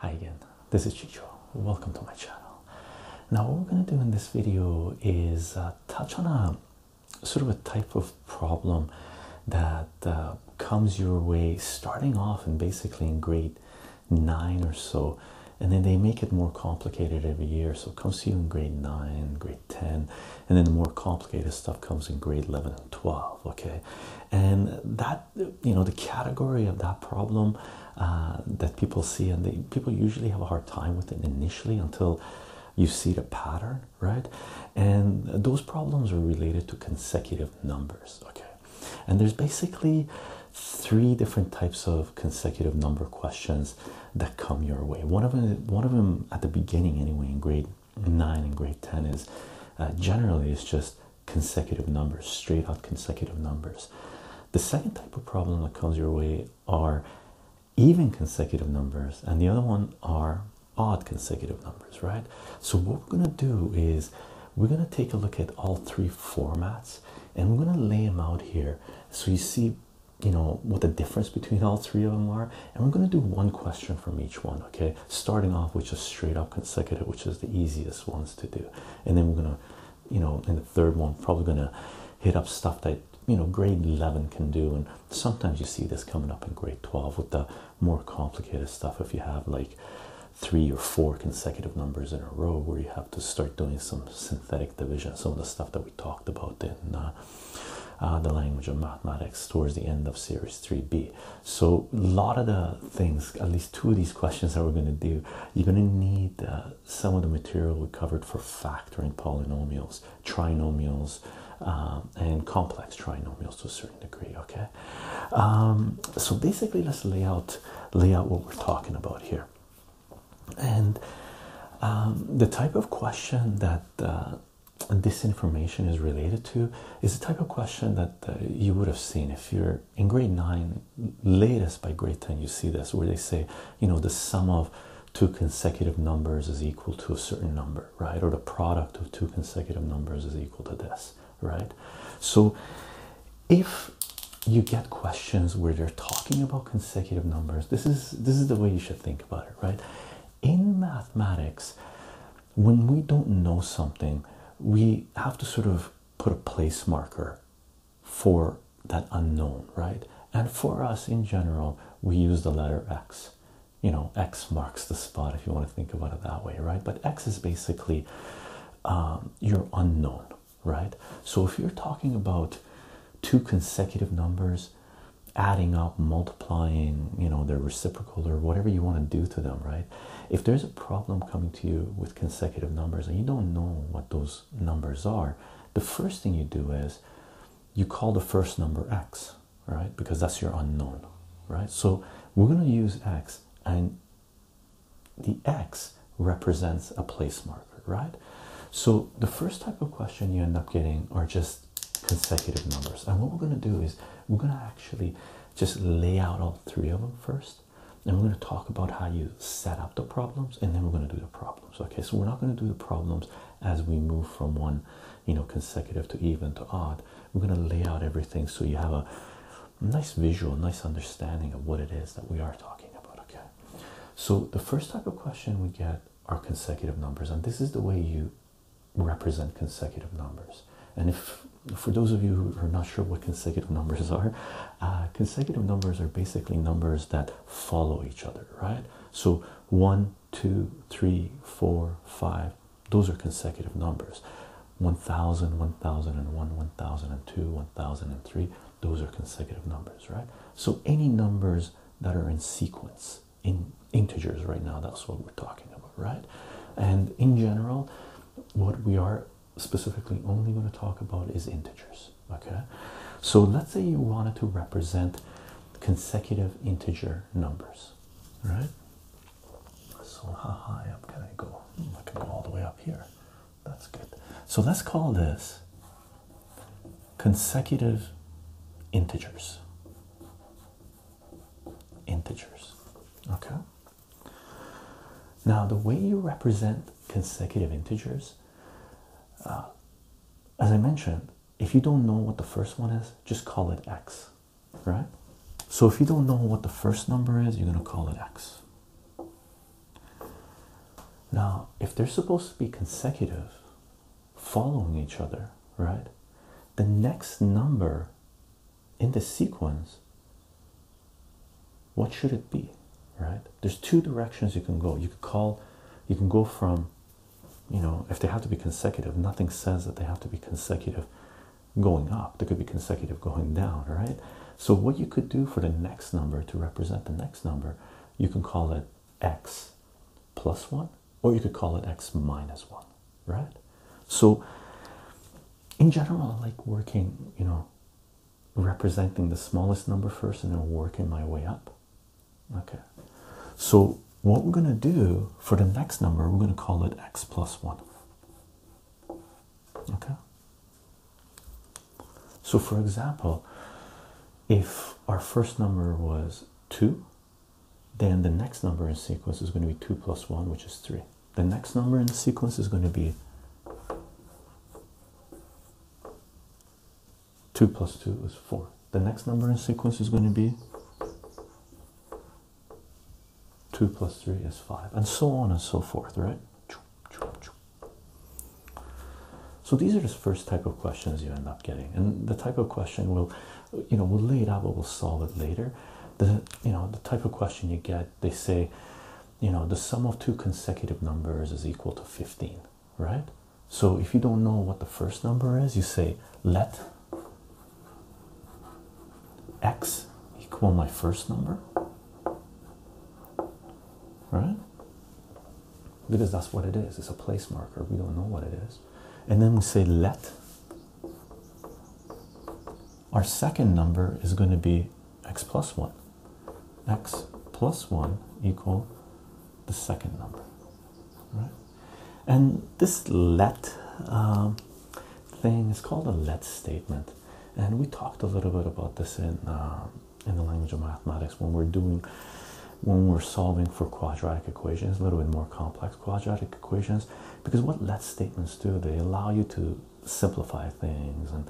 Hi again, this is Chicho. Welcome to my channel. Now what we're going to do in this video is uh, touch on a sort of a type of problem that uh, comes your way starting off and basically in grade 9 or so and then they make it more complicated every year. So it comes in grade 9, grade 10, and then the more complicated stuff comes in grade 11 and 12. Okay, and that you know, the category of that problem uh, that people see, and they people usually have a hard time with it initially until you see the pattern, right? And those problems are related to consecutive numbers, okay. And there's basically three different types of consecutive number questions that come your way. One of them, one of them at the beginning anyway, in grade nine and grade ten, is uh, generally it's just consecutive numbers, straight out consecutive numbers. The second type of problem that comes your way are even consecutive numbers, and the other one are odd consecutive numbers, right? So what we're gonna do is we're going to take a look at all three formats and we're going to lay them out here so you see you know what the difference between all three of them are and we're going to do one question from each one okay starting off with just straight up consecutive which is the easiest ones to do and then we're going to you know in the third one probably going to hit up stuff that you know grade 11 can do and sometimes you see this coming up in grade 12 with the more complicated stuff if you have like three or four consecutive numbers in a row where you have to start doing some synthetic division some of the stuff that we talked about in uh, uh, the language of mathematics towards the end of series 3b so a lot of the things at least two of these questions that we're going to do you're going to need uh, some of the material we covered for factoring polynomials trinomials and complex trinomials to a certain degree okay um, so basically let's lay out lay out what we're talking about here and um, the type of question that this uh, information is related to is the type of question that uh, you would have seen if you're in grade 9 latest by grade 10 you see this where they say you know the sum of two consecutive numbers is equal to a certain number right or the product of two consecutive numbers is equal to this right so if you get questions where they're talking about consecutive numbers. This is this is the way you should think about it, right? In mathematics, when we don't know something, we have to sort of put a place marker for that unknown, right? And for us in general, we use the letter X. You know, X marks the spot if you want to think about it that way, right? But X is basically um, your unknown, right? So if you're talking about two consecutive numbers adding up, multiplying, you know, their reciprocal or whatever you want to do to them, right? If there's a problem coming to you with consecutive numbers and you don't know what those numbers are, the first thing you do is you call the first number x, right? Because that's your unknown, right? So we're going to use x and the x represents a place marker right? So the first type of question you end up getting are just consecutive numbers. And what we're going to do is we're going to actually just lay out all three of them first. And we're going to talk about how you set up the problems and then we're going to do the problems. Okay, so we're not going to do the problems as we move from one, you know, consecutive to even to odd. We're going to lay out everything so you have a nice visual, nice understanding of what it is that we are talking about. Okay, so the first type of question we get are consecutive numbers, and this is the way you represent consecutive numbers. And if for those of you who are not sure what consecutive numbers are, uh, consecutive numbers are basically numbers that follow each other, right? So one, two, three, four, five, those are consecutive numbers. 1000, 1001, 1002, 1003, those are consecutive numbers, right? So any numbers that are in sequence in integers right now that's what we're talking about right and in general what we are specifically only going to talk about is integers okay so let's say you wanted to represent consecutive integer numbers right so how high up can i go i can go all the way up here that's good so let's call this consecutive integers. Integers. Okay. Now, the way you represent consecutive integers, uh, as I mentioned, if you don't know what the first one is, just call it x, right? So, if you don't know what the first number is, you're going to call it x. Now, if they're supposed to be consecutive, following each other, right? The next number in the sequence, what should it be, right? There's two directions you can go. You could call, you can go from, you know, if they have to be consecutive, nothing says that they have to be consecutive going up, they could be consecutive going down, right? So, what you could do for the next number to represent the next number, you can call it x plus 1, or you could call it x minus 1, right? So, in general, I like working, you know, representing the smallest number first and then working my way up. Okay, so what we're going to do for the next number, we're going to call it x plus 1. Okay, so for example, if our first number was 2, then the next number in sequence is going to be 2 plus 1, which is 3. The next number in the sequence is going to be 2 plus 2 is 4. The next number in sequence is going to be 2 plus 3 is 5, and so on and so forth, right? So these are the first type of questions you end up getting, and the type of question will, you know, we'll lay it out, but we'll solve it later. The you know the type of question you get, they say, you know, the sum of two consecutive numbers is equal to fifteen, right? So if you don't know what the first number is, you say let x equal my first number, right? because that's what it is. It's a place marker. We don't know what it is. And then we say let. Our second number is going to be x plus 1. x plus 1 equal the second number. Right? And this let um, thing is called a let statement. And we talked a little bit about this in um, in the language of mathematics when we're doing when we're solving for quadratic equations a little bit more complex quadratic equations because what let statements do they allow you to simplify things and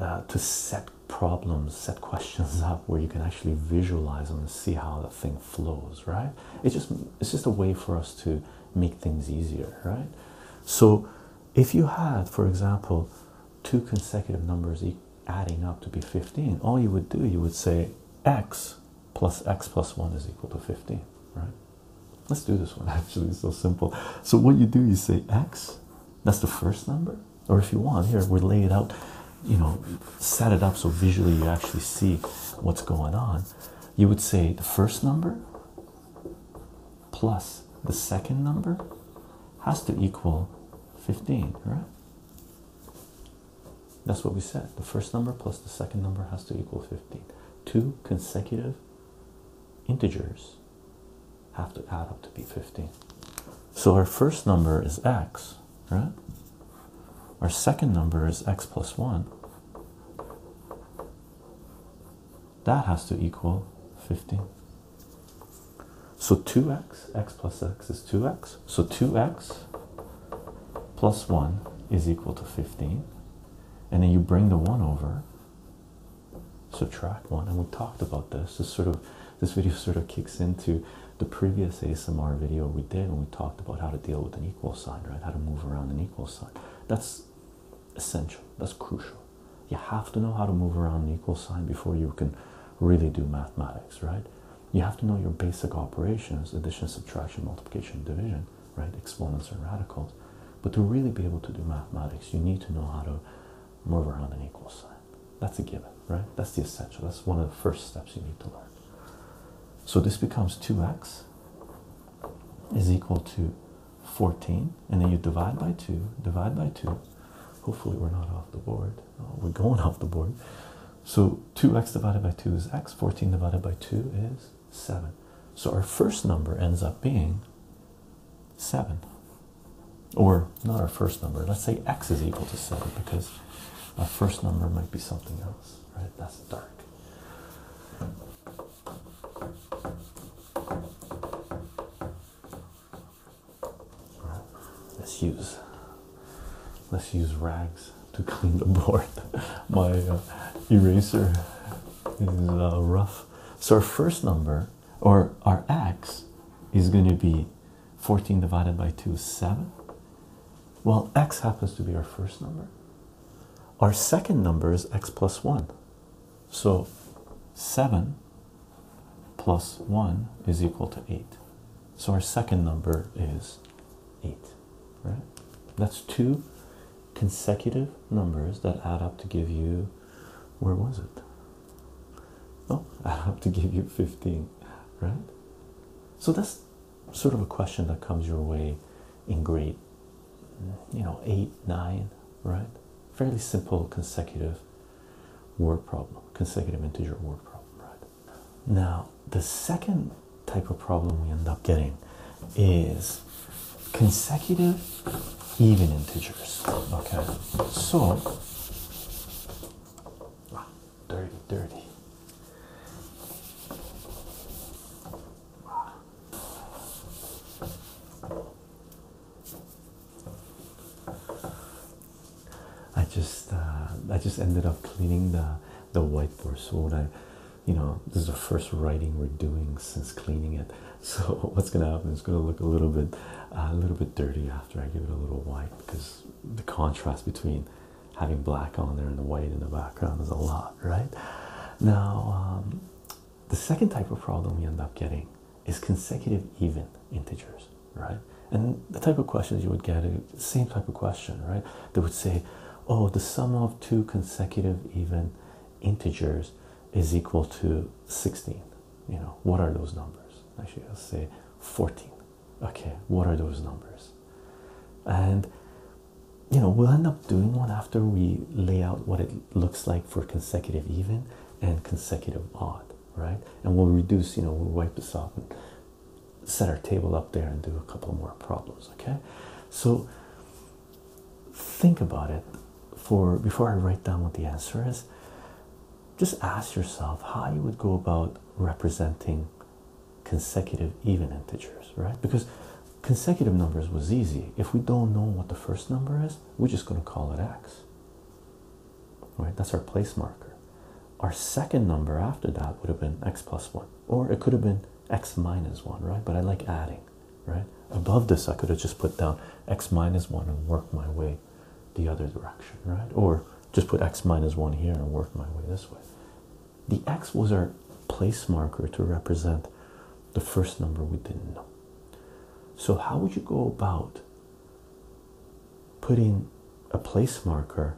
uh, to set problems set questions up where you can actually visualize them and see how the thing flows right it's just it's just a way for us to make things easier right so if you had for example two consecutive numbers adding up to be 15, all you would do, you would say x plus x plus 1 is equal to 15, right? Let's do this one actually, it's so simple. So, what you do, you say x, that's the first number, or if you want, here we lay it out, you know, set it up so visually you actually see what's going on. You would say the first number plus the second number has to equal 15, right? That's what we said. The first number plus the second number has to equal 15. Two consecutive integers have to add up to be 15. So our first number is x, right? Our second number is x plus 1. That has to equal 15. So 2x, x plus x is 2x. So 2x plus 1 is equal to 15. And then you bring the 1 over, subtract 1. And we talked about this. This sort of this video sort of kicks into the previous ASMR video we did when we talked about how to deal with an equal sign, right? How to move around an equal sign. That's essential. That's crucial. You have to know how to move around an equal sign before you can really do mathematics, right? You have to know your basic operations, addition, subtraction, multiplication, division, right? Exponents and radicals. But to really be able to do mathematics, you need to know how to move around an equal sign. That's a given, right? That's the essential. That's one of the first steps you need to learn. So this becomes 2x is equal to 14. And then you divide by 2, divide by 2. Hopefully we're not off the board. Oh, we're going off the board. So 2x divided by 2 is x, 14 divided by 2 is 7. So our first number ends up being 7. Or not our first number, let's say x is equal to 7 because our first number might be something else, right? That's dark. Let's use let's use rags to clean the board. My uh, eraser is uh, rough. So our first number or our x is going to be 14 divided by 2 is 7. Well, x happens to be our first number. Our second number is x plus 1. So 7 plus 1 is equal to 8. So our second number is 8, right? That's two consecutive numbers that add up to give you, where was it? Oh, add up to give you 15, right? So that's sort of a question that comes your way in grade, you know, 8, 9, right? Fairly simple consecutive word problem, consecutive integer word problem, right? Now, the second type of problem we end up getting is consecutive even integers. Okay, so ah, dirty, dirty. I just uh, I just ended up cleaning the the whiteboard. So I, you know, this is the first writing we're doing since cleaning it. So what's gonna happen? It's gonna look a little bit uh, a little bit dirty after I give it a little white because the contrast between having black on there and the white in the background is a lot, right? Now, um, the second type of problem we end up getting is consecutive even integers right? And the type of questions you would get, same type of question, right? They would say, oh, the sum of two consecutive even integers is equal to 16. You know, what are those numbers? Actually, I'll say 14. Okay, what are those numbers? And, you know, we'll end up doing one after we lay out what it looks like for consecutive even and consecutive odd, right? And we'll reduce, you know, we'll wipe this off set our table up there and do a couple more problems okay so think about it for before i write down what the answer is just ask yourself how you would go about representing consecutive even integers right because consecutive numbers was easy if we don't know what the first number is we're just going to call it x right that's our place marker our second number after that would have been x plus 1, or it could have been x minus 1, right? But I like adding, right? Above this, I could have just put down x minus 1 and work my way the other direction, right? Or just put x minus 1 here and work my way this way. The x was our place marker to represent the first number we didn't know. So, how would you go about putting a place marker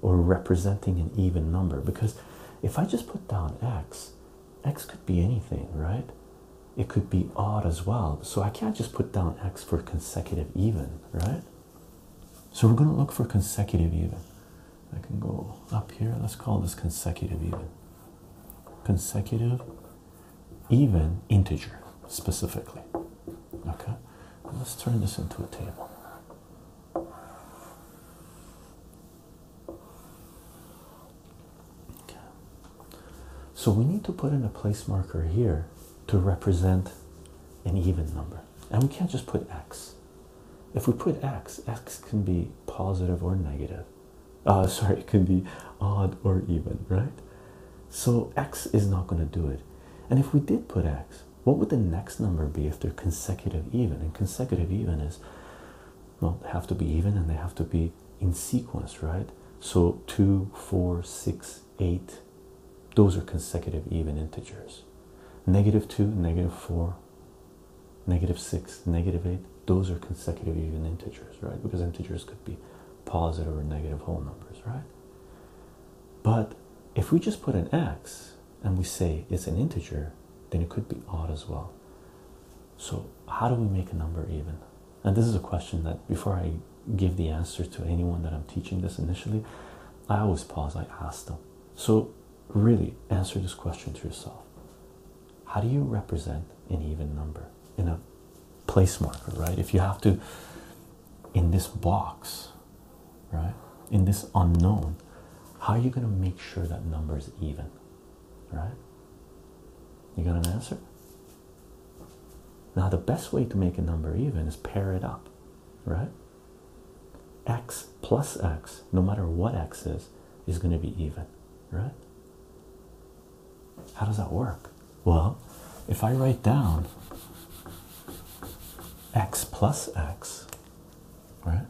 or representing an even number because if I just put down x, x could be anything, right? It could be odd as well. So I can't just put down x for consecutive even, right? So we're going to look for consecutive even. I can go up here. Let's call this consecutive even. Consecutive even integer specifically. Okay? Let's turn this into a table. So we need to put in a place marker here to represent an even number. And we can't just put x. If we put x, x can be positive or negative. Uh, sorry, it can be odd or even, right? So x is not going to do it. And if we did put x, what would the next number be if they're consecutive even? And consecutive even is, well, they have to be even and they have to be in sequence, right? So two, four, six, eight, those are consecutive even integers. Negative two, negative four, negative six, negative eight, those are consecutive even integers, right? Because integers could be positive or negative whole numbers, right? But if we just put an x, and we say it's an integer, then it could be odd as well. So, how do we make a number even? And this is a question that before I give the answer to anyone that I'm teaching this initially, I always pause, I ask them. So, really answer this question to yourself How do you represent an even number in a place marker, right? If you have to in this box, right? In this unknown, how are you going to make sure that number is even, right? You got an answer? Now, the best way to make a number even is pair it up, right? X plus X, no matter what X is, is going to be even, right? How does that work? Well, if I write down x plus x, right?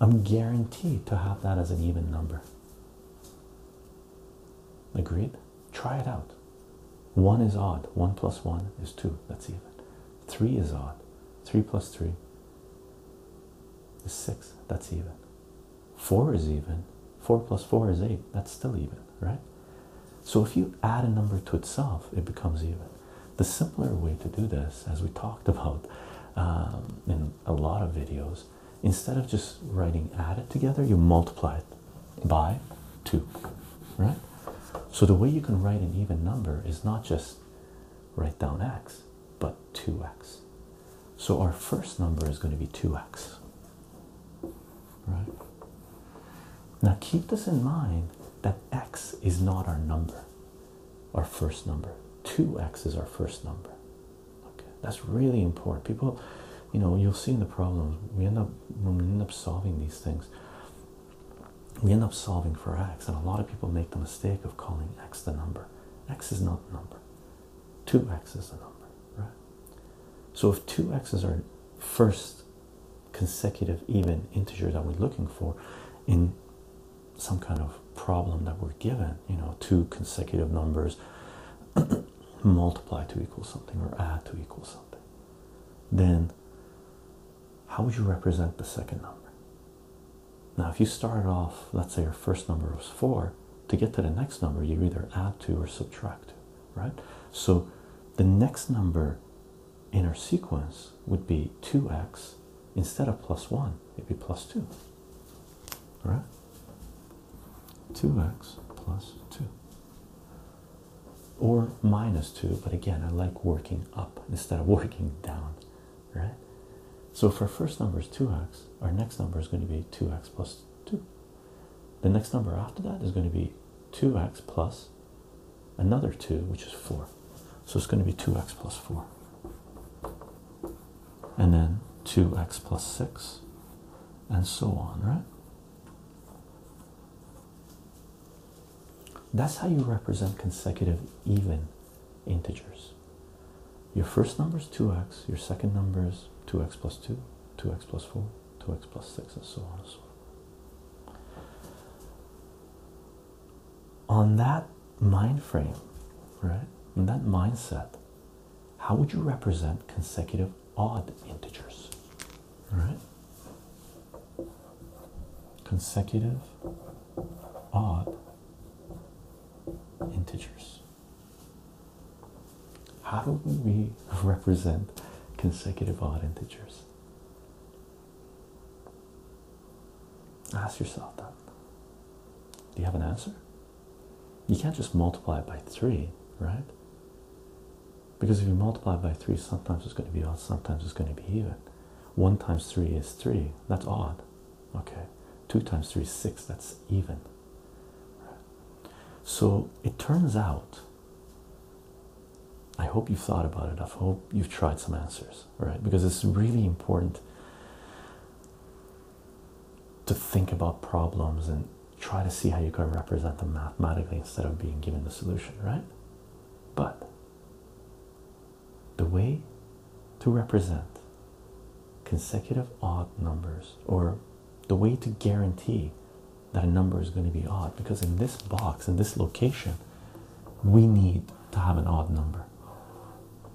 I'm guaranteed to have that as an even number. Agreed? Try it out. One is odd, one plus one is two, that's even. Three is odd, three plus three is six, that's even. Four is even, four plus four is eight, that's still even, right? So if you add a number to itself, it becomes even. The simpler way to do this, as we talked about um, in a lot of videos, instead of just writing add it together, you multiply it by 2, right? So the way you can write an even number is not just write down x, but 2x. So our first number is going to be 2x, Right now, keep this in mind that x is not our number, our first number. 2x is our first number. Okay, that's really important. People, you know, you'll see in the problems we end up when we end up solving these things. We end up solving for x, and a lot of people make the mistake of calling x the number. X is not the number. 2x is the number, right? So if two x's are first consecutive even integer that we're looking for in some kind of problem that we're given, you know, two consecutive numbers multiply to equal something or add to equal something, then how would you represent the second number? Now, if you started off, let's say your first number was four, to get to the next number, you either add to or subtract right? So the next number in our sequence would be 2x instead of plus 1, it'd be plus 2, right? 2x plus 2 or minus 2, but again, I like working up instead of working down, right? So, if our first number is 2x, our next number is going to be 2x plus 2. The next number after that is going to be 2x plus another 2, which is 4. So it's going to be 2x plus 4. And then 2x plus 6, and so on, right? That's how you represent consecutive even integers. Your first number is 2x, your second number is 2x plus 2, 2x plus 4, 2x plus 6 and so on and so on. On that mind frame, right? In that mindset, how would you represent consecutive odd integers? Right? Consecutive odd integers. How do we represent consecutive odd integers? Ask yourself that. Do you have an answer? You can't just multiply by 3, right? Because if you multiply by 3, sometimes it's going to be odd, sometimes it's going to be even. 1 times 3 is 3, that's odd. Okay. 2 times 3 is 6, that's even. So it turns out I hope you've thought about it. I hope you've tried some answers, right? Because it's really important to think about problems and try to see how you can represent them mathematically instead of being given the solution, right? But the way to represent consecutive odd numbers or the way to guarantee that a number is going to be odd because in this box in this location we need to have an odd number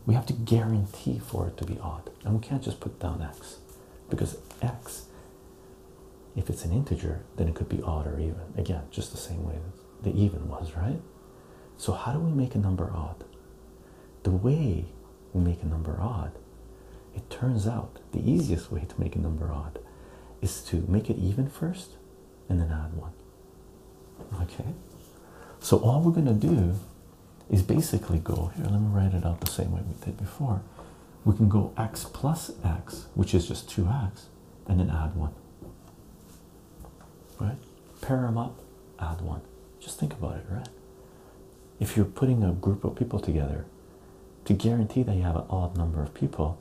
we have to guarantee for it to be odd and we can't just put down x because x if it's an integer then it could be odd or even again just the same way that the even was right so how do we make a number odd the way we make a number odd it turns out the easiest way to make a number odd is to make it even first and then add one. Okay, so all we're going to do is basically go here. Let me write it out the same way we did before. We can go x plus x, which is just 2x, and then add one. Right? Pair them up, add one. Just think about it, right? If you're putting a group of people together to guarantee that you have an odd number of people,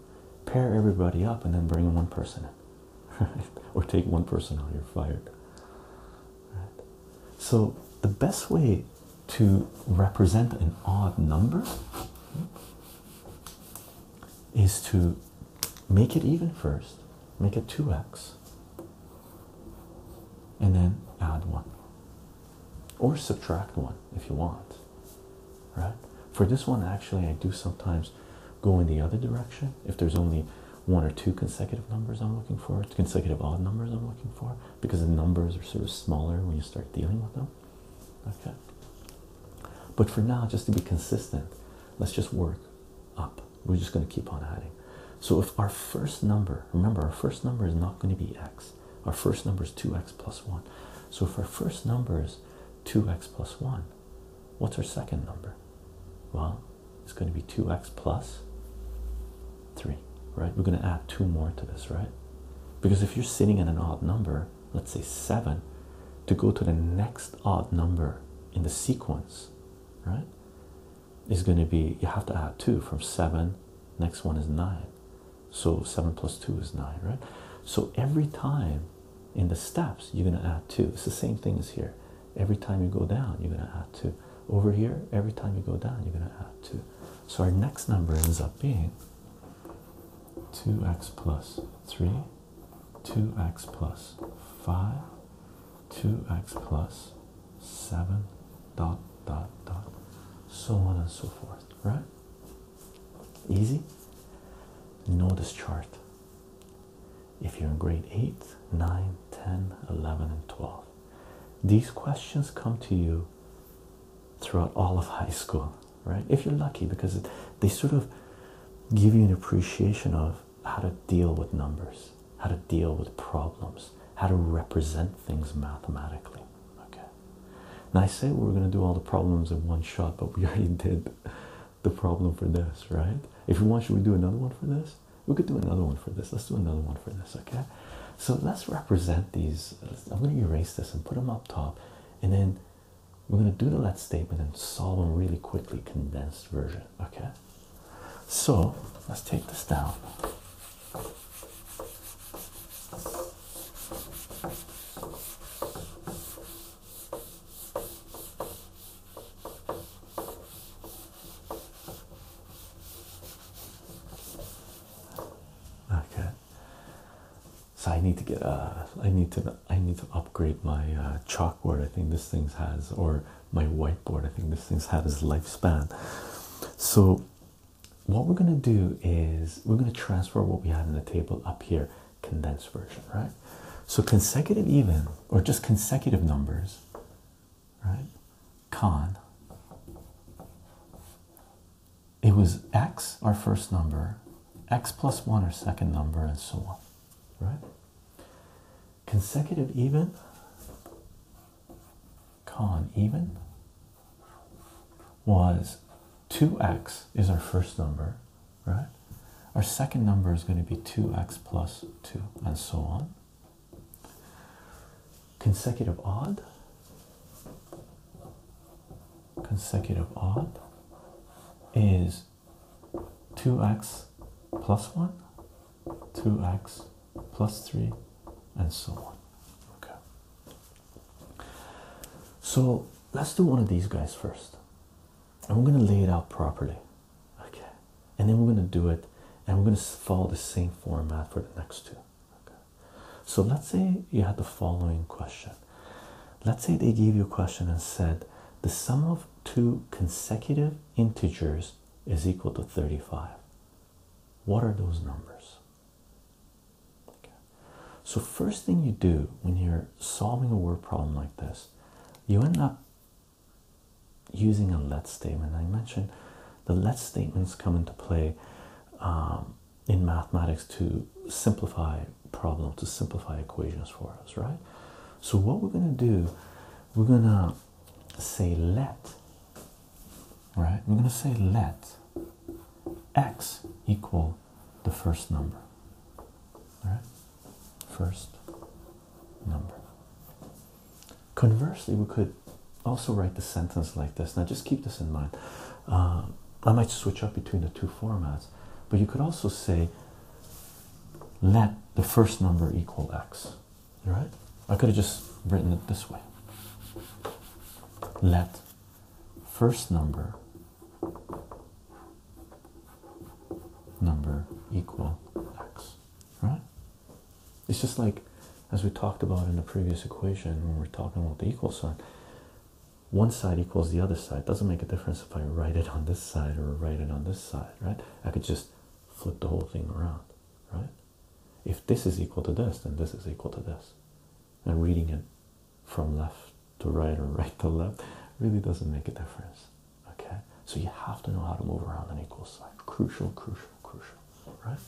pair everybody up and then bring one person in, Or take one person out, you're fired. So the best way to represent an odd number is to make it even first, make it 2x, and then add 1 or subtract one if you want right for this one actually i do sometimes go in the other direction if there's only one or two consecutive numbers i'm looking for consecutive odd numbers i'm looking for because the numbers are sort of smaller when you start dealing with them okay but for now just to be consistent let's just work up we're just going to keep on adding so if our first number remember our first number is not going to be x our first number is 2x plus 1. So if our first number is 2x plus 1, what's our second number? Well, it's going to be 2x plus 3, right? We're going to add two more to this, right? Because if you're sitting at an odd number, let's say 7, to go to the next odd number in the sequence, right, is going to be you have to add 2 from 7, next one is 9. So 7 plus 2 is 9, right? So every time in the steps, you're going to add 2. It's the same thing as here. Every time you go down, you're going to add 2. Over here, every time you go down, you're going to add 2. So our next number ends up being 2x plus 3, 2x plus 5, 2x plus 7, dot, dot, dot, so on and so forth, right? Easy. Know this chart. If you're in grade 8, 9, 10, 11, and 12, these questions come to you throughout all of high school, right? If you're lucky, because they sort of give you an appreciation of how to deal with numbers, how to deal with problems, how to represent things mathematically. Okay, now I said we were gonna do all the problems in one shot, but we already did the problem for this, right? If you want, should we do another one for this? We could do another one for this. Let's do another one for this, okay? So let's represent these. I'm gonna erase this and put them up top, and then we're gonna do the let statement and solve them really quickly, condensed version, okay? So let's take this down. Okay. So I need to get uh I need to I need to upgrade my uh, chalkboard. I think this thing has or my whiteboard. I think this thing's had its lifespan. So what we're going to do is we're going to transfer what we have in the table up here, condensed version, right? So consecutive even, or just consecutive numbers, right? Con. It was x, our first number, x plus 1, our second number, and so on, right? Consecutive even, con even, was 2x is our first number, right? Our second number is going to be 2x plus 2, and so on. Consecutive odd, consecutive odd is 2x plus 1, 2x plus 3, and so on. Okay, so let's do one of these guys first. And we're going to lay it out properly. Okay. And then we're going to do it. And we're going to follow the same format for the next two. Okay. So let's say you had the following question. Let's say they gave you a question and said the sum of two consecutive integers is equal to 35. What are those numbers? So first thing you do when you're solving a word problem like this, you end up using a let statement. I mentioned the let statements come into play um, in mathematics to simplify problem, to simplify equations for us, right? So what we're gonna do, we're gonna say let, right? We're gonna say let x equal the first number all right, first number. Conversely, we could also write the sentence like this. Now, just keep this in mind. Uh, I might switch up between the two formats, but you could also say, let the first number equal x. All right, I could have just written it this way. Let first number number equal x right it's just like as we talked about in the previous equation when we're talking about the equal sign one side equals the other side doesn't make a difference if i write it on this side or write it on this side right i could just flip the whole thing around right if this is equal to this then this is equal to this and reading it from left to right or right to left really doesn't make a difference. Okay, so you have to know how to move around an equal sign. Crucial, crucial, crucial. Right.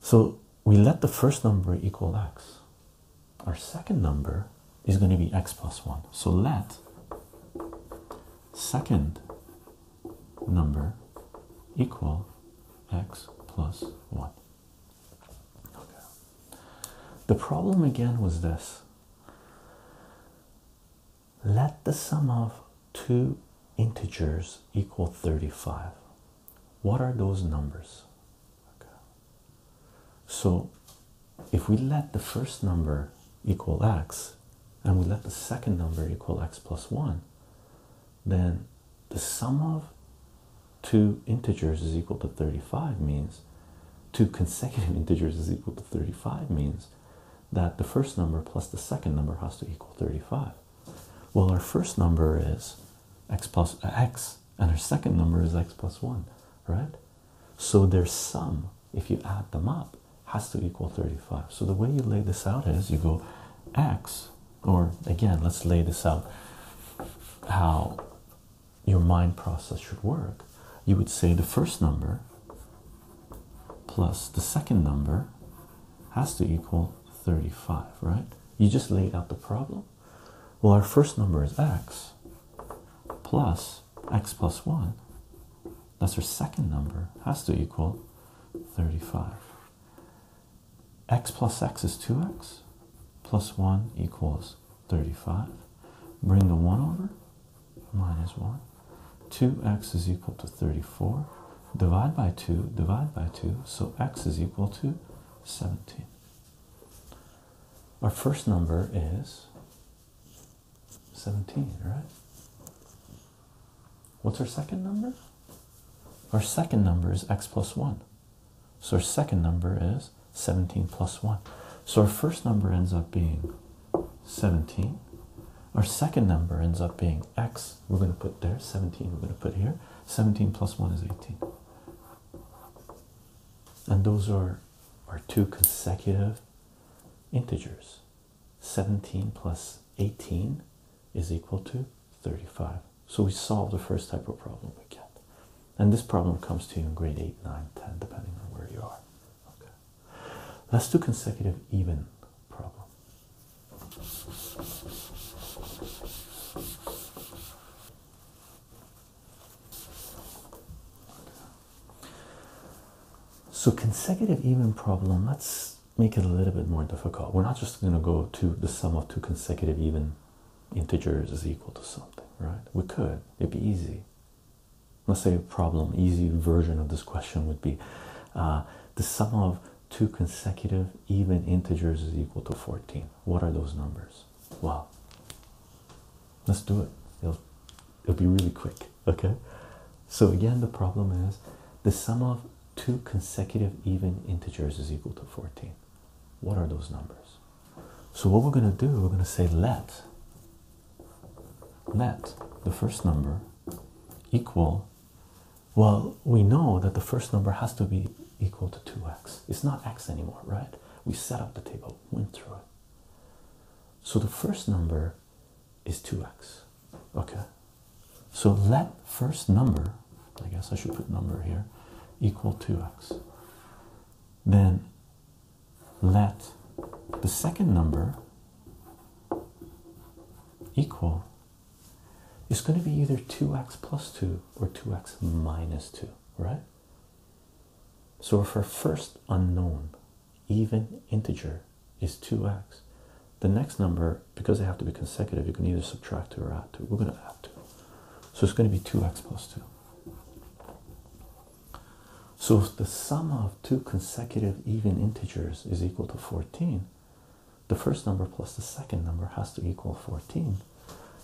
So we let the first number equal x. Our second number is going to be x plus one. So let second number equal x plus one. The problem again was this let the sum of two integers equal 35. What are those numbers? So if we let the first number equal x and we let the second number equal x plus 1, then the sum of two integers is equal to 35 means two consecutive integers is equal to 35 means that the first number plus the second number has to equal 35. Well, our first number is x plus x, and our second number is x plus 1, right? So their sum, if you add them up, has to equal 35. So the way you lay this out is you go x, or again, let's lay this out how your mind process should work, you would say the first number plus the second number has to equal 35, right? You just laid out the problem. Well, our first number is x plus x plus 1. That's our second number, has to equal 35 x plus x is 2x plus 1 equals 35. Bring the 1 over, minus 1. 2x is equal to 34. Divide by 2, divide by 2, so x is equal to 17. Our first number is 17, right? What's our second number? Our second number is x plus 1. So our second number is 17 plus 1. So our first number ends up being 17. Our second number ends up being x. We're going to put there. 17 we're going to put here. 17 plus 1 is 18. And those are our two consecutive integers. 17 plus 18 is equal to 35. So we solve the first type of problem we get. And this problem comes to you in grade 8, 9, 10, depending on where you are. Okay. Let's do consecutive even problem. So consecutive even problem, let's make it a little bit more difficult. We're not just going to go to the sum of two consecutive even integers is equal to something, right? We could, it'd be easy. Let's say a problem, easy version of this question would be uh, the sum of two consecutive even integers is equal to 14. What are those numbers? Well, let's do it. It'll, it'll be really quick, okay? So again, the problem is the sum of two consecutive even integers is equal to 14. What are those numbers? So what we're going to do, we're going to say let let the first number equal well we know that the first number has to be equal to 2x it's not x anymore right we set up the table went through it so the first number is 2x okay so let first number i guess i should put number here equal 2x then let the second number equal is going to be either 2x plus 2 or 2x minus 2, right? So if our first unknown even integer is 2x, the next number, because they have to be consecutive, you can either subtract 2 or add 2. We're going to add 2. So it's going to be 2x plus 2. So if the sum of two consecutive even integers is equal to 14, the first number plus the second number has to equal 14.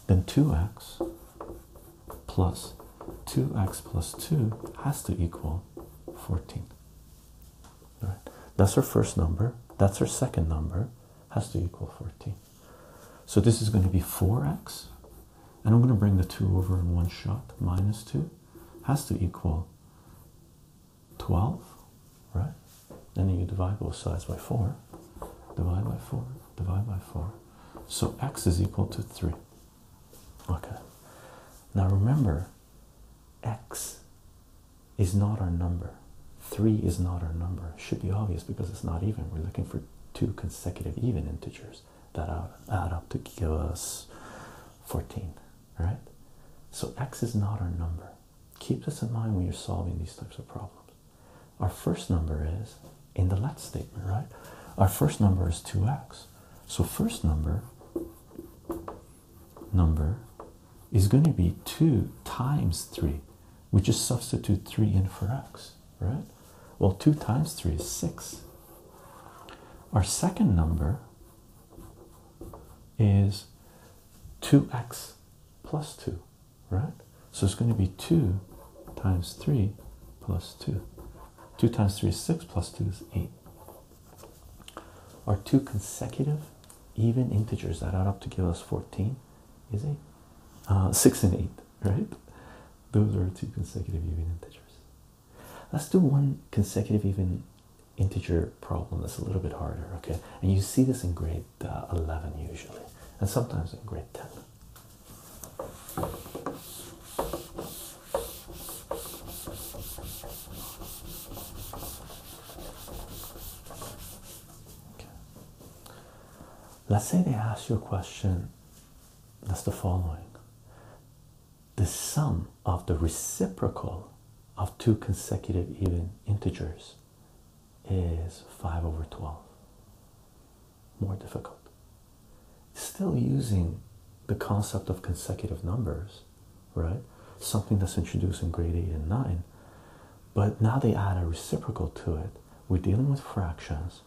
Then 2x plus 2x plus 2 has to equal 14. That's our first number. That's our second number. Has to equal 14. So this is going to be 4x. And I'm going to bring the 2 over in one shot. Minus 2 has to equal 12, right? And then you divide both sides by 4. Divide by 4. Divide by 4. So x is equal to 3. Okay. Now remember, x is not our number. 3 is not our number. should be obvious because it's not even. We're looking for two consecutive even integers that add up to give us 14, right? So x is not our number. Keep this in mind when you're solving these types of problems. Our first number is in the let statement, right? Our first number is 2x. So first number number is going to be 2 times 3. We just substitute 3 in for x right? Well, 2 times 3 is 6. Our second number is 2x plus 2, right? So it's going to be 2 times 3 plus 2. 2 times 3 is 6 plus 2 is 8. Our two consecutive even integers that add up to give us 14 is 8. Uh, 6 and 8, right? Those are two consecutive even integers. Let's do one consecutive even integer problem that's a little bit harder, okay? And you see this in grade uh, 11 usually, and sometimes in grade 10. Okay. Let's say they ask you a question that's the following the sum of the reciprocal of two consecutive even integers is 5 over 12 more difficult still using the concept of consecutive numbers right something that's introduced in grade 8 and 9 but now they add a reciprocal to it we're dealing with fractions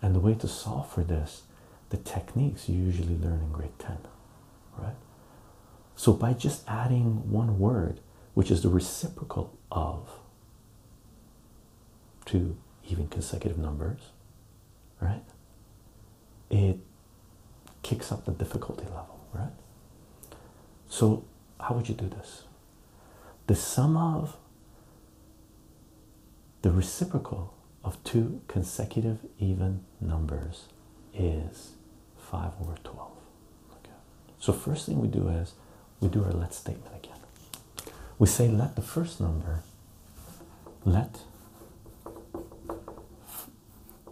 and the way to solve for this, the techniques you usually learn in grade 10, right? So by just adding one word, which is the reciprocal of two even consecutive numbers, right? It kicks up the difficulty level, right? So, how would you do this? the sum of the reciprocal of two consecutive even numbers is 5 over 12. Okay. So first thing we do is we do our let statement again. We say let the first number, let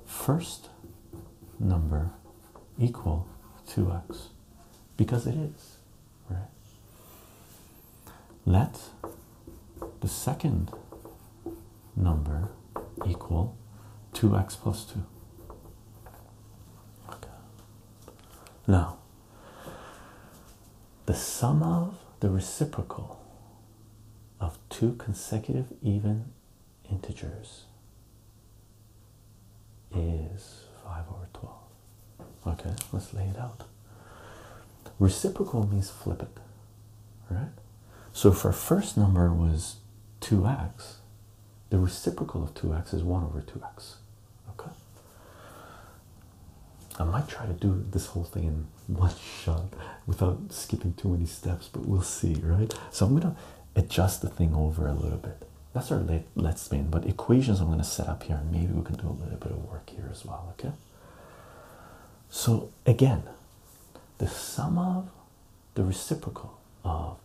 first number equal 2x because it is let the second number equal 2x plus 2. Now, the sum of the reciprocal of two consecutive even integers is 5 over 12. Okay, let's lay it out. Reciprocal means flip it, right? So if our first number was 2x, the reciprocal of 2x is 1 over 2x. Okay? I might try to do this whole thing in one shot without skipping too many steps, but we'll see, right? So I'm going to adjust the thing over a little bit. That's our let, us spin, but equations I'm going to set up here, and maybe we can do a little bit of work here as well. Okay, so again, the sum of the reciprocal of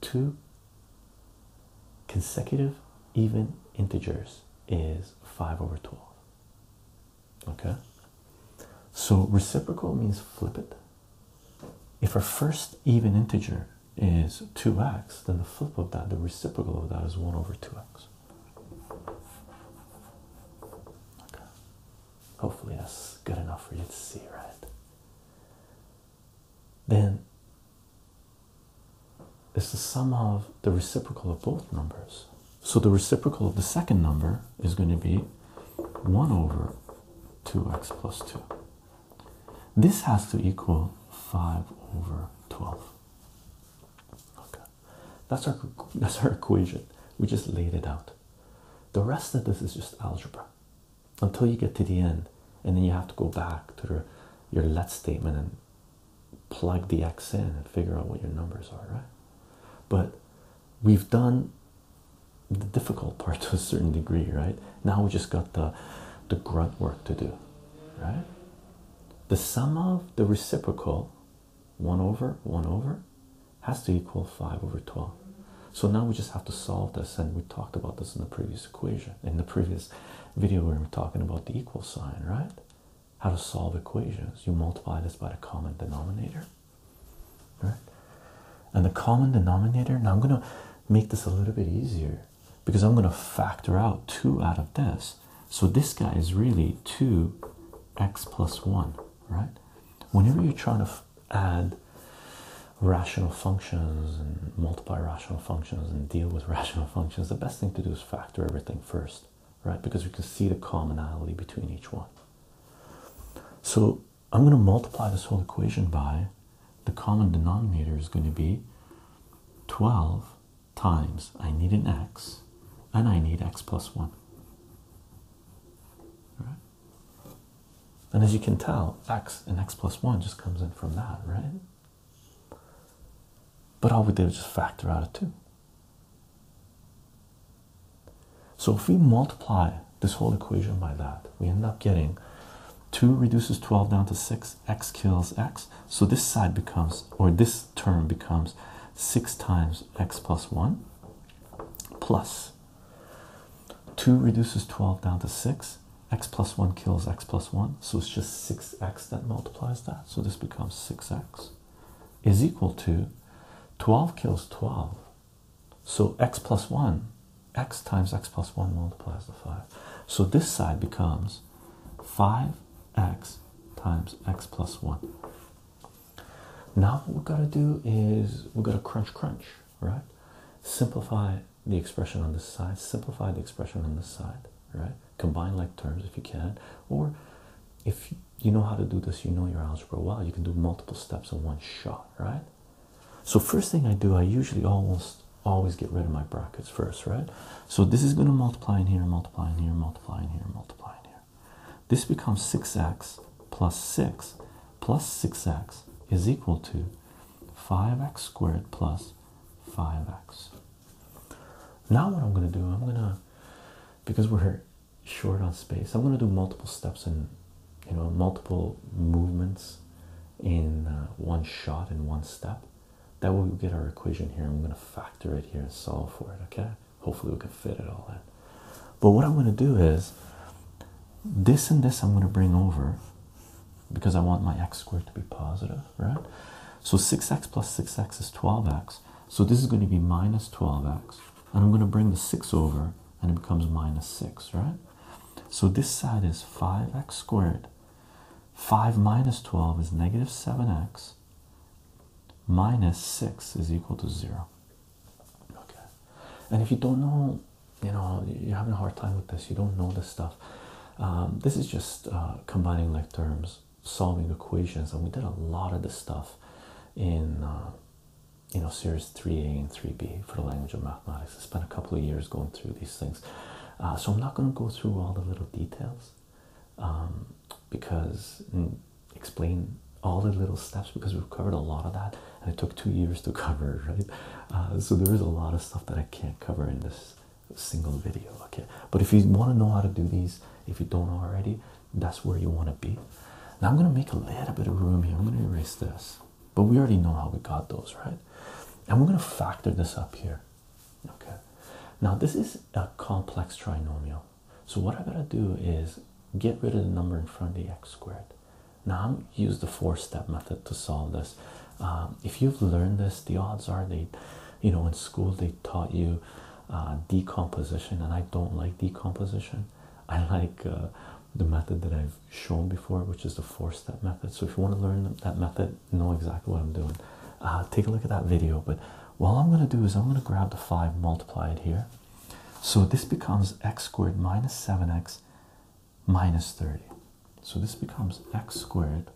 two consecutive even integers is 5 over 12. Okay, so reciprocal means flip it. If our first even integer is 2x, then the flip of that, the reciprocal of that is 1 over 2x. Okay. Hopefully that's good enough for you to see, right? Then it's the sum of the reciprocal of both numbers. So the reciprocal of the second number is going to be 1 over 2x plus 2. This has to equal 5 over 12. Okay, that's our that's our equation. We just laid it out. The rest of this is just algebra until you get to the end, and then you have to go back to your let statement and plug the x in and figure out what your numbers are, right? But we've done the difficult part to a certain degree, right? Now we just got the the grunt work to do, right? the sum of the reciprocal 1 over 1 over has to equal 5 over 12 so now we just have to solve this and we talked about this in the previous equation in the previous video where we were talking about the equal sign right how to solve equations you multiply this by the common denominator right and the common denominator now i'm going to make this a little bit easier because I'm going to factor out 2 out of this. So this guy is really 2x plus 1, right? Whenever you're trying to add rational functions and multiply rational functions and deal with rational functions, the best thing to do is factor everything first, right? Because we can see the commonality between each one. So I'm going to multiply this whole equation by the common denominator is going to be 12 times I need an x and I need x plus 1. And as you can tell, x and x plus 1 just comes in from that, right? But all we did was just factor out a 2. So if we multiply this whole equation by that, we end up getting 2 reduces 12 down to 6 x kills x so this side becomes or this term becomes 6 times x plus 1 plus 2 reduces 12 down to 6 x plus 1 kills x plus 1 so it's just 6x that multiplies that so this becomes 6x is equal to 12 kills 12 so x plus 1 x times x plus 1 multiplies the 5 so this side becomes 5x times x plus 1. Now, what we've got to do is we've got to crunch, crunch, right? Simplify the expression on this side, simplify the expression on this side, right? Combine like terms if you can, or if you know how to do this, you know your algebra well, you can do multiple steps in one shot, right? So, first thing I do, I usually almost always get rid of my brackets first, right? So this is going to multiply in here, multiply in here, multiply in here, multiply in here. This becomes 6x plus 6 plus 6x is equal to 5x squared plus 5x. Now what I'm going to do, I'm going to, because we're short on space, I'm going to do multiple steps and, you know, multiple movements in uh, one shot in one step that we get our equation here. I'm going to factor it here and solve for it, okay? Hopefully, we can fit it all in. But what I'm going to do is this and this I'm going to bring over because I want my x squared to be positive, right? So 6x plus 6x is 12x. So this is going to be minus 12x. And I'm going to bring the 6 over and it becomes minus 6, right? So this side is 5x squared. 5 minus 12 is negative 7x minus 6 is equal to 0. Okay. And if you don't know, you know, you're having a hard time with this, you don't know this stuff. Um, this is just uh, combining like terms, solving equations, and we did a lot of this stuff in, uh, you know, series 3A and 3B for the language of mathematics. I spent a couple of years going through these things. Uh, so I'm not going to go through all the little details. Um, because explain all the little steps because we've covered a lot of that and it took two years to cover right uh, so there is a lot of stuff that i can't cover in this single video okay but if you want to know how to do these if you don't already that's where you want to be now i'm going to make a little bit of room here i'm going to erase this but we already know how we got those right and we're going to factor this up here Okay, now this is a complex trinomial. So, what I gotta do is get rid of the number in front of the x squared. Now, I'm use the four step method to solve this. Um, if you've learned this, the odds are they, you know, in school they taught you uh, decomposition, and I don't like decomposition. I like uh, the method that I've shown before, which is the four step method. So, if you want to learn that method, know exactly what I'm doing. Uh, take a look at that video, but well I'm going to do is I'm going to grab the 5 multiply it here so this becomes x squared minus 7x minus 30 so this becomes x squared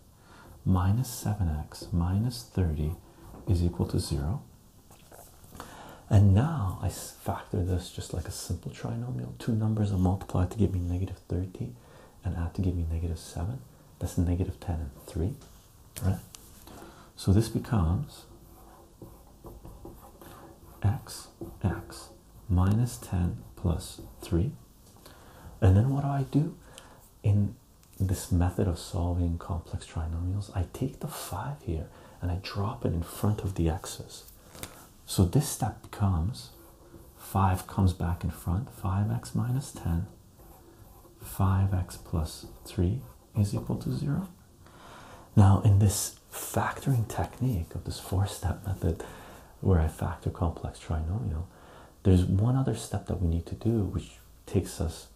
minus 7x minus 30 is equal to 0 and now I factor this just like a simple trinomial two numbers are multiplied to give me negative 30 and add to give me negative 7 that's negative 10 and 3 right? So this becomes x x minus 10 plus 3. And then what do I do in this method of solving complex trinomials? I take the 5 here and I drop it in front of the x's. So this step becomes 5 comes back in front, 5x minus 10 5x plus 3 is equal to 0. Now, in this factoring technique of this four step method where I factor complex trinomial, there's one other step that we need to do which takes us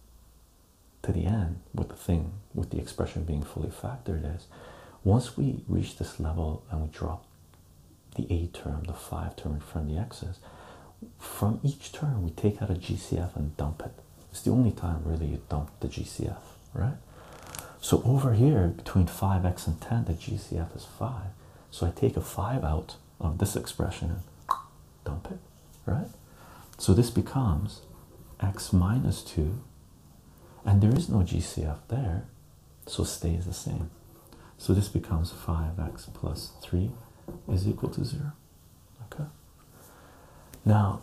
to the end with the thing, with the expression being fully factored. Is once we reach this level and we drop the a term, the 5 term from the x's, from each term we take out a GCF and dump it. It's the only time really you dump the GCF, right? So over here between 5x and 10, the GCF is 5. So I take a 5 out of this expression and dump it, right? So this becomes x minus 2, and there is no GCF there, so stays the same. So this becomes 5x plus 3 is equal to 0. Okay, now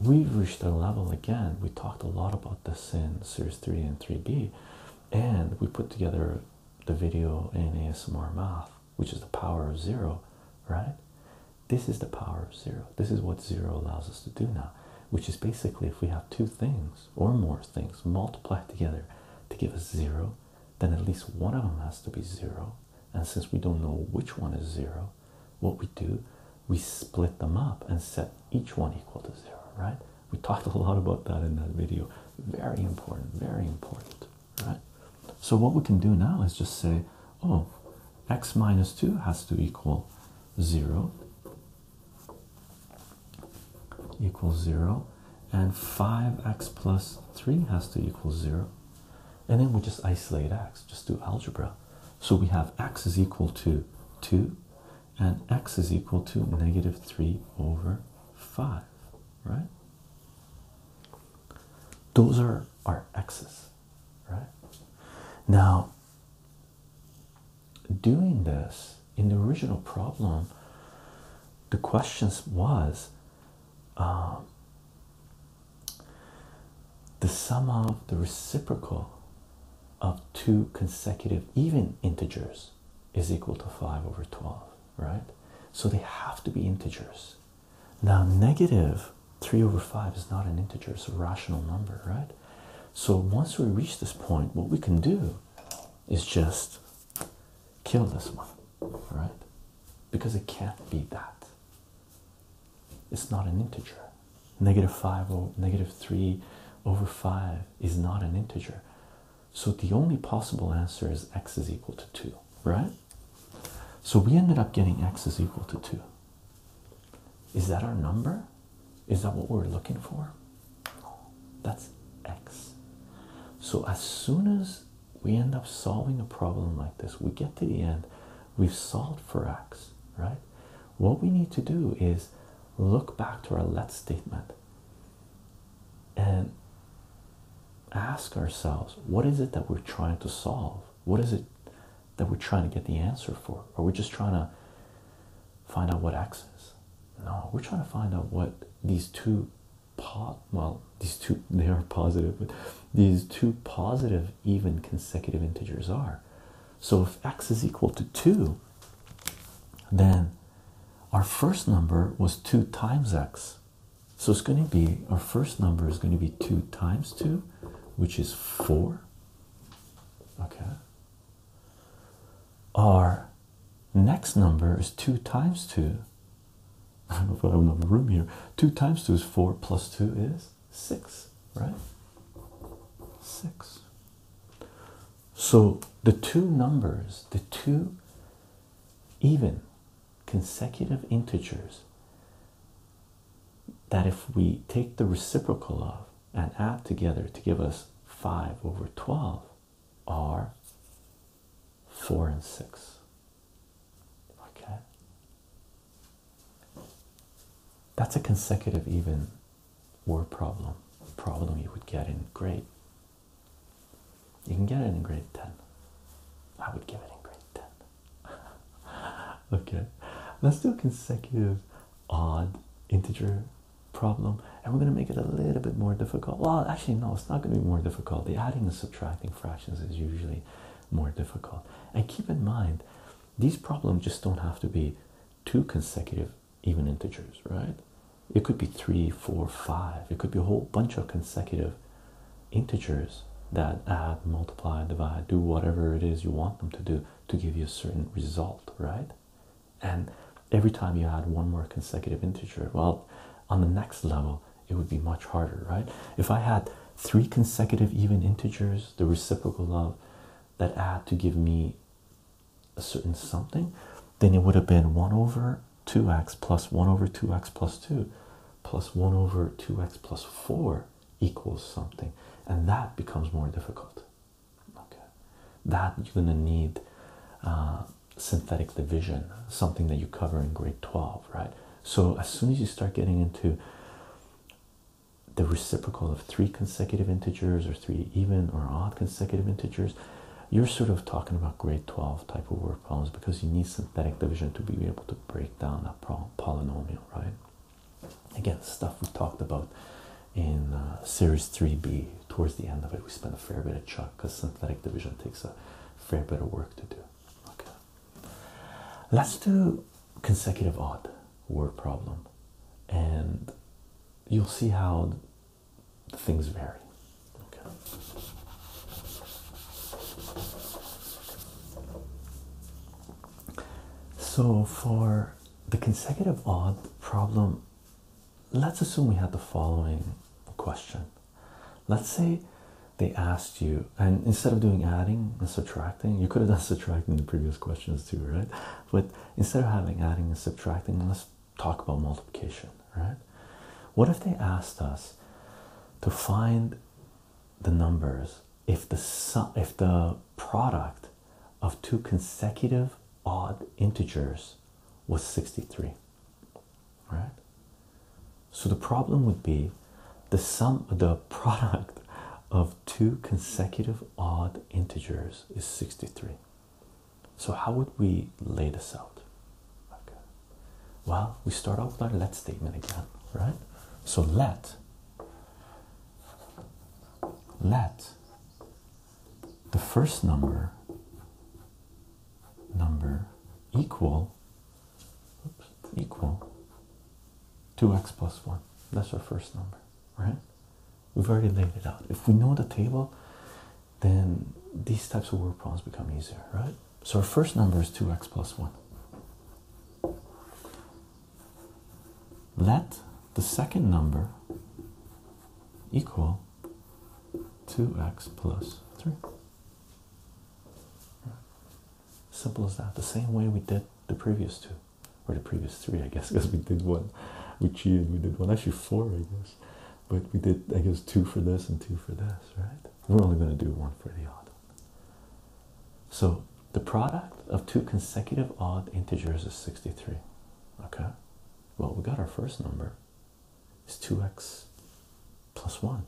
we reached a level again. We talked a lot about the sin series 3 and 3B, and we put together the video in ASMR math, which is the power of zero, right? This is the power of zero, this is what zero allows us to do now, which is basically if we have two things or more things multiplied together to give us zero, then at least one of them has to be zero and since we don't know which one is zero, what we do, we split them up and set each one equal to zero, right? We talked a lot about that in that video. Very important, very important, right? So what we can do now is just say, oh, x minus 2 has to equal 0 equals 0 and 5x plus 3 has to equal 0 and then we just isolate x, just do algebra. So we have x is equal to 2 and x is equal to negative 3 over 5, right? Those are our x's, right? Now, doing this in the original problem, the question was um, the sum of the reciprocal of two consecutive even integers is equal to 5 over 12, right? So they have to be integers. Now, negative 3 over 5 is not an integer, it's a rational number, right? So once we reach this point, what we can do is just kill this one right? Because it can't be that. It's not an integer. Negative 5 or negative 3 over 5 is not an integer. So the only possible answer is x is equal to 2, right? So we ended up getting x is equal to 2. Is that our number? Is that what we're looking for? That's x. So as soon as we end up solving a problem like this. We get to the end, we've solved for x, right? What we need to do is look back to our let statement and ask ourselves what is it that we're trying to solve? What is it that we're trying to get the answer for? Are we just trying to find out what x is? No, we're trying to find out what these two well these two they are positive these two positive even consecutive integers are so if x is equal to 2 then our first number was 2 times x so it's going to be our first number is going to be 2 times 2 which is 4 okay our next number is 2 times 2 I don't know if I have another room here. Two times two is four, plus two is six, right? Six. So the two numbers, the two even consecutive integers that if we take the reciprocal of and add together to give us 5 over 12 are four and six. Okay. That's a consecutive even word problem. Problem you would get in grade. You can get it in grade 10. I would give it in grade 10. okay. Let's do a consecutive odd integer problem and we're going to make it a little bit more difficult well actually no it's not going to be more difficult the adding and subtracting fractions is usually more difficult. And keep in mind, these problems just don't have to be two consecutive even integers, right? It could be three, four, five. It could be a whole bunch of consecutive integers that add, multiply, divide, do whatever it is you want them to do to give you a certain result, right? And every time you add one more consecutive integer, well, on the next level, it would be much harder, right? If I had three consecutive even integers, the reciprocal of that add to give me a certain something, then it would have been 1 over 2x plus 1 over 2x plus 2 plus 1 over 2x plus 4 equals something. And that becomes more difficult. Okay. That you're going to need uh, synthetic division, something that you cover in grade 12, right? So as soon as you start getting into the reciprocal of three consecutive integers or three even or odd consecutive integers, you're sort of talking about grade 12 type of work problems because you need synthetic division to be able to break down that polynomial, right? Again, stuff we talked about in uh, series 3b towards the end of it we spent a fair bit of chuck because synthetic division takes a fair bit of work to do okay Let's do consecutive odd word problem, and you'll see how things vary. Okay. So for the consecutive odd problem, let's assume we had the following question. Let's say they asked you, and instead of doing adding and subtracting, you could have done subtracting in the previous questions too, right? But instead of having adding and subtracting, let's talk about multiplication, right? What if they asked us to find the numbers if the sum if the product of two consecutive odd integers was 63 right so the problem would be the sum the product of two consecutive odd integers is 63. So how would we lay this out? Okay. Well, we start off with our let statement again, right? So let let the first number number equal equal 2x plus 1. That's our first number, right? We've already laid it out. If we know the table, then these types of word problems become easier, right? So our first number is 2x plus 1. Let the second number equal 2x plus 3. Simple as that. The same way we did the previous two, or the previous three, I guess, because we did one. We cheated, we did one, actually four, I guess. But we did, I guess, two for this and two for this, right? We're only going to do one for the odd. So the product of two consecutive odd integers is 63. Okay? Well, we got our first number. It's 2x plus 1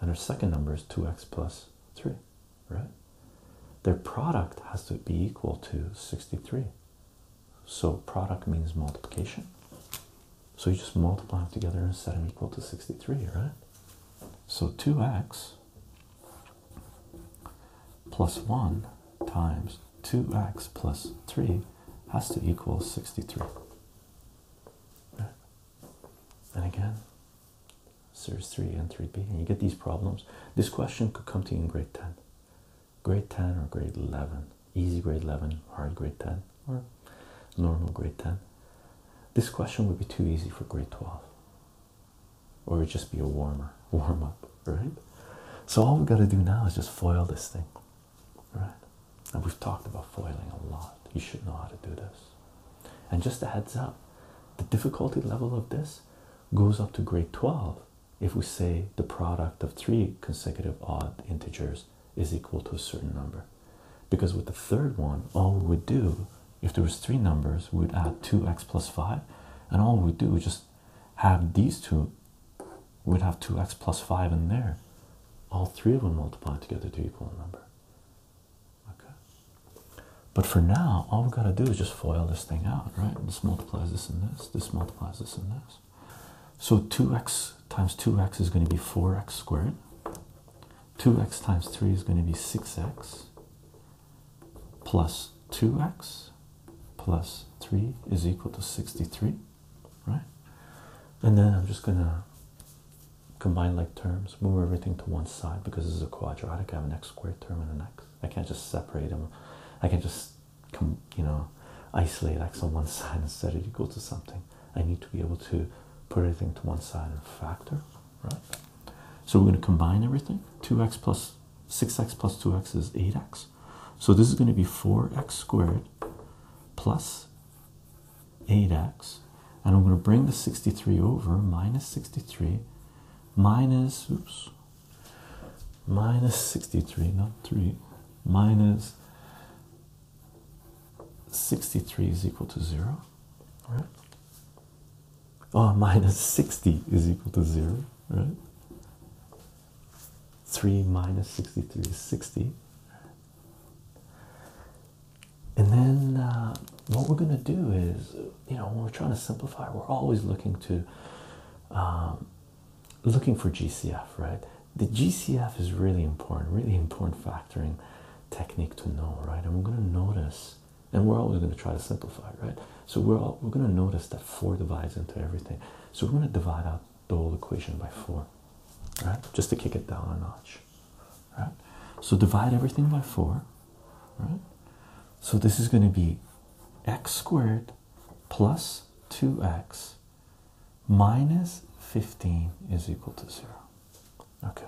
and our second number is 2x plus 3, right? Their product has to be equal to 63. So product means multiplication. So you just multiply them together and set them equal to 63, right? So 2x plus 1 times 2x plus 3 has to equal 63. And again, series 3 and 3b and you get these problems this question could come to you in grade 10 grade 10 or grade 11 easy grade 11 hard grade 10 or normal grade 10 this question would be too easy for grade 12 or it would just be a warmer warm up right so all we got to do now is just foil this thing right and we've talked about foiling a lot you should know how to do this and just a heads up, the difficulty level of this goes up to grade 12 if we say the product of three consecutive odd integers is equal to a certain number. Because with the third one, all we would do, if there was three numbers, we would add 2x plus 5. And all we would do is just have these two, we'd have 2x plus 5 in there. All three of them multiplied together to equal a number okay but for now all we've got to do is just FOIL this thing out right this multiplies this and this this multiplies this and this so 2x times 2x is going to be 4x squared 2x times 3 is going to be 6x plus 2x plus 3 is equal to 63 right and then I'm just gonna combine like terms, move everything to one side because this is a quadratic. I have an x squared term and an x. I can't just separate them. I can just, you know, isolate x on one side and set it equal to something. I need to be able to put everything to one side and factor, right? So we're going to combine everything. 2x plus 6x plus 2x is 8x. So this is going to be 4x squared plus 8x and I'm going to bring the 63 over minus 63 minus oops minus 63 not 3 minus 63 is equal to 0 right oh minus 60 is equal to 0 right 3 minus 63 is 60 and then uh, what we're going to do is you know when we're trying to simplify we're always looking to um, looking for gcf right the gcf is really important really important factoring technique to know right and we're going to notice and we're always going to try to simplify right so we're we're going to notice that four divides into everything so we're going to divide out the whole equation by four right just to kick it down a notch right? So divide everything by 4, right? So this is going to be x squared plus 2x minus 15 is equal to 0. Okay.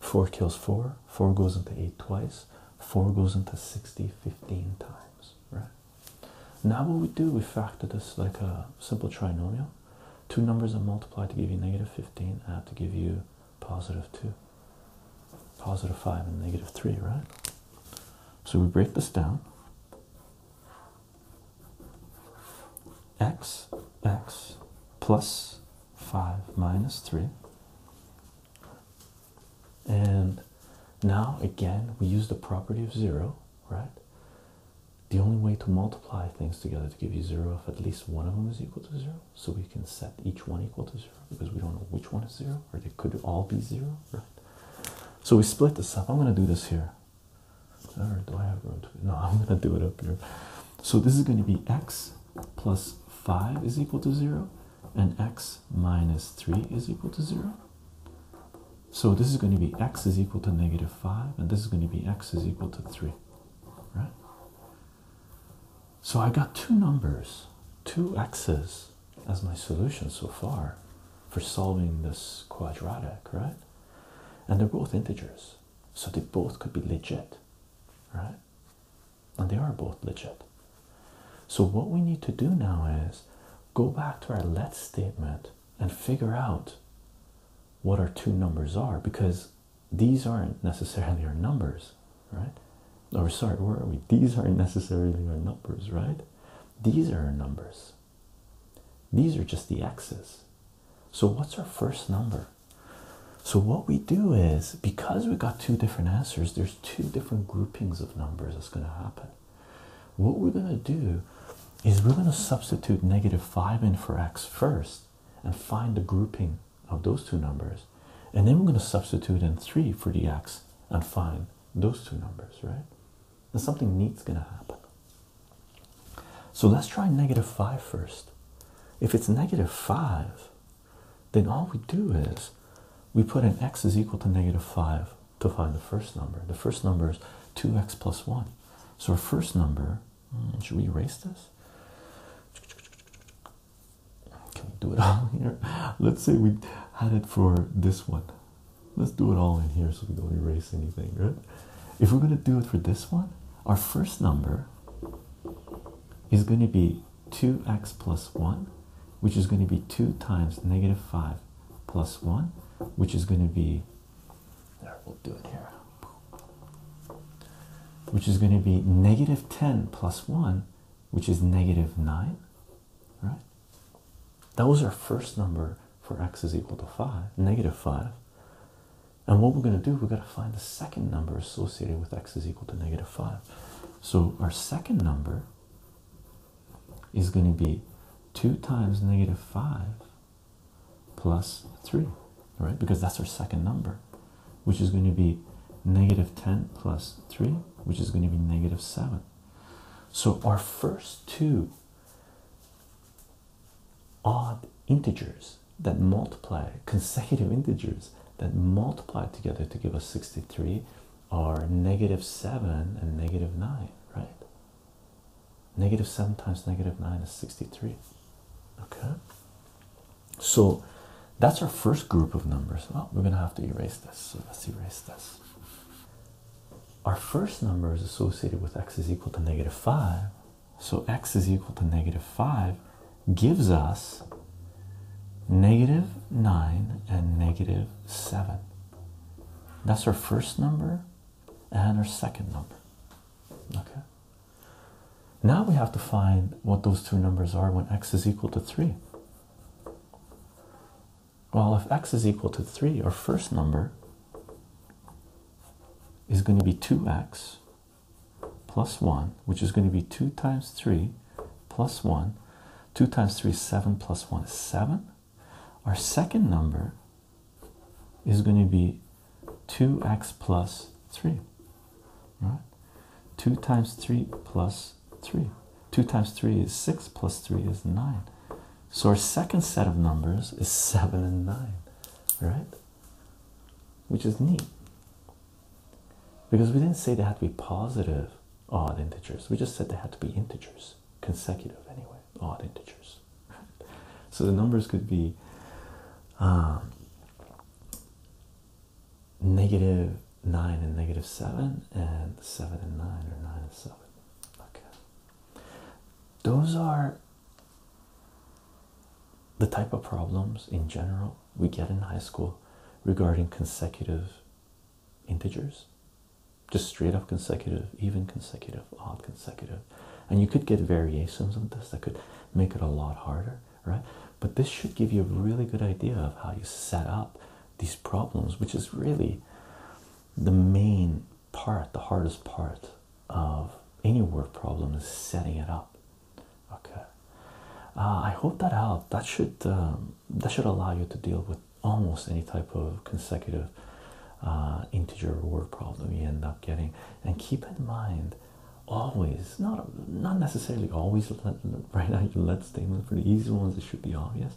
4 kills 4. 4 goes into 8 twice. 4 goes into 60 15 times, right? Now what we do, we factor this like a simple trinomial. Two numbers that multiply to give you negative 15, add to give you positive 2, positive 5, and negative 3, right? So we break this down. x, x plus 5 minus 3. And now again, we use the property of 0, right? The only way to multiply things together to give you 0 if at least one of them is equal to 0 so we can set each one equal to zero because we don't know which one is zero or they could all be zero, right? So we split this up. I'm going to do this here. do I have room to? No, I'm going to do it up here. So this is going to be x plus 5 is equal to 0 and x minus 3 is equal to 0. So this is going to be x is equal to negative 5 and this is going to be x is equal to 3, right? So I got two numbers, two x's as my solution so far for solving this quadratic, right? And they're both integers, so they both could be legit, right? And they are both legit. So what we need to do now is go back to our let statement and figure out what our two numbers are because these aren't necessarily our numbers, right? Or sorry, where are we? These aren't necessarily our numbers, right? These are our numbers. These are just the x's. So what's our first number? So what we do is because we got two different answers, there's two different groupings of numbers that's going to happen. What we're going to do is we're going to substitute negative 5 in for x first and find the grouping of those two numbers. And then we're going to substitute in 3 for the x and find those two numbers, right? And something neat's going to happen. So let's try negative 5 first. If it's negative 5, then all we do is we put in x is equal to negative 5 to find the first number. The first number is 2x plus 1. So our first number Mm, should we erase this? Can we do it all here? Let's say we had it for this one. Let's do it all in here so we don't erase anything, right? If we're going to do it for this one, our first number is going to be 2x plus 1, which is going to be 2 times negative 5 plus 1, which is going to be. There, we'll do it here which is going to be negative 10 plus 1, which is negative 9, right? That was our first number for x is equal to 5, negative 5. And what we're going to do, we're going to find the second number associated with x is equal to negative 5. So our second number is going to be 2 times negative 5 plus 3 right? Because that's our second number, which is going to be negative 10 plus 3, which is going to be negative 7. So our first two odd integers that multiply, consecutive integers that multiply together to give us 63 are negative 7 and negative 9, right? Negative 7 times negative 9 is 63. Okay. So that's our first group of numbers. Well, we're going to have to erase this. So let's erase this. Our first number is associated with x is equal to negative 5. So x is equal to negative 5 gives us negative 9 and negative 7. That's our first number and our second number. Okay. Now we have to find what those two numbers are when x is equal to 3. Well, if x is equal to 3, our first number is going to be 2x plus 1, which is going to be 2 times 3 plus 1. 2 times 3 is 7 plus 1 is 7. Our second number is going to be 2x plus 3 right? 2 times 3 plus 3. 2 times 3 is 6, plus 3 is 9. So our second set of numbers is 7 and 9, right? Which is neat. Because we didn't say they had to be positive odd integers. We just said they had to be integers, consecutive anyway, odd integers. so the numbers could be um, negative 9 and negative 7 and 7 and 9 or 9 and 7 okay those are the type of problems in general we get in high school regarding consecutive integers just straight up consecutive even consecutive odd consecutive and you could get variations of this that could make it a lot harder right but this should give you a really good idea of how you set up these problems, which is really the main part, the hardest part of any word problem is setting it up. Okay, uh, I hope that helped. That should um, that should allow you to deal with almost any type of consecutive uh, integer word problem you end up getting. And keep in mind always not not necessarily always right now you let statements for the easy ones it should be obvious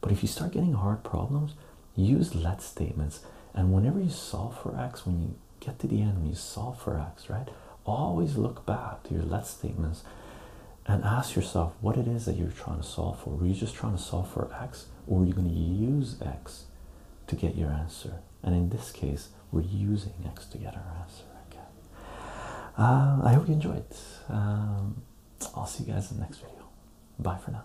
but if you start getting hard problems use let statements and whenever you solve for x when you get to the end when you solve for x right always look back to your let statements and ask yourself what it is that you're trying to solve for were you just trying to solve for x or are you going to use x to get your answer and in this case we're using x to get our answer. Uh, I hope you enjoyed. Um, I'll see you guys in the next video. Bye for now.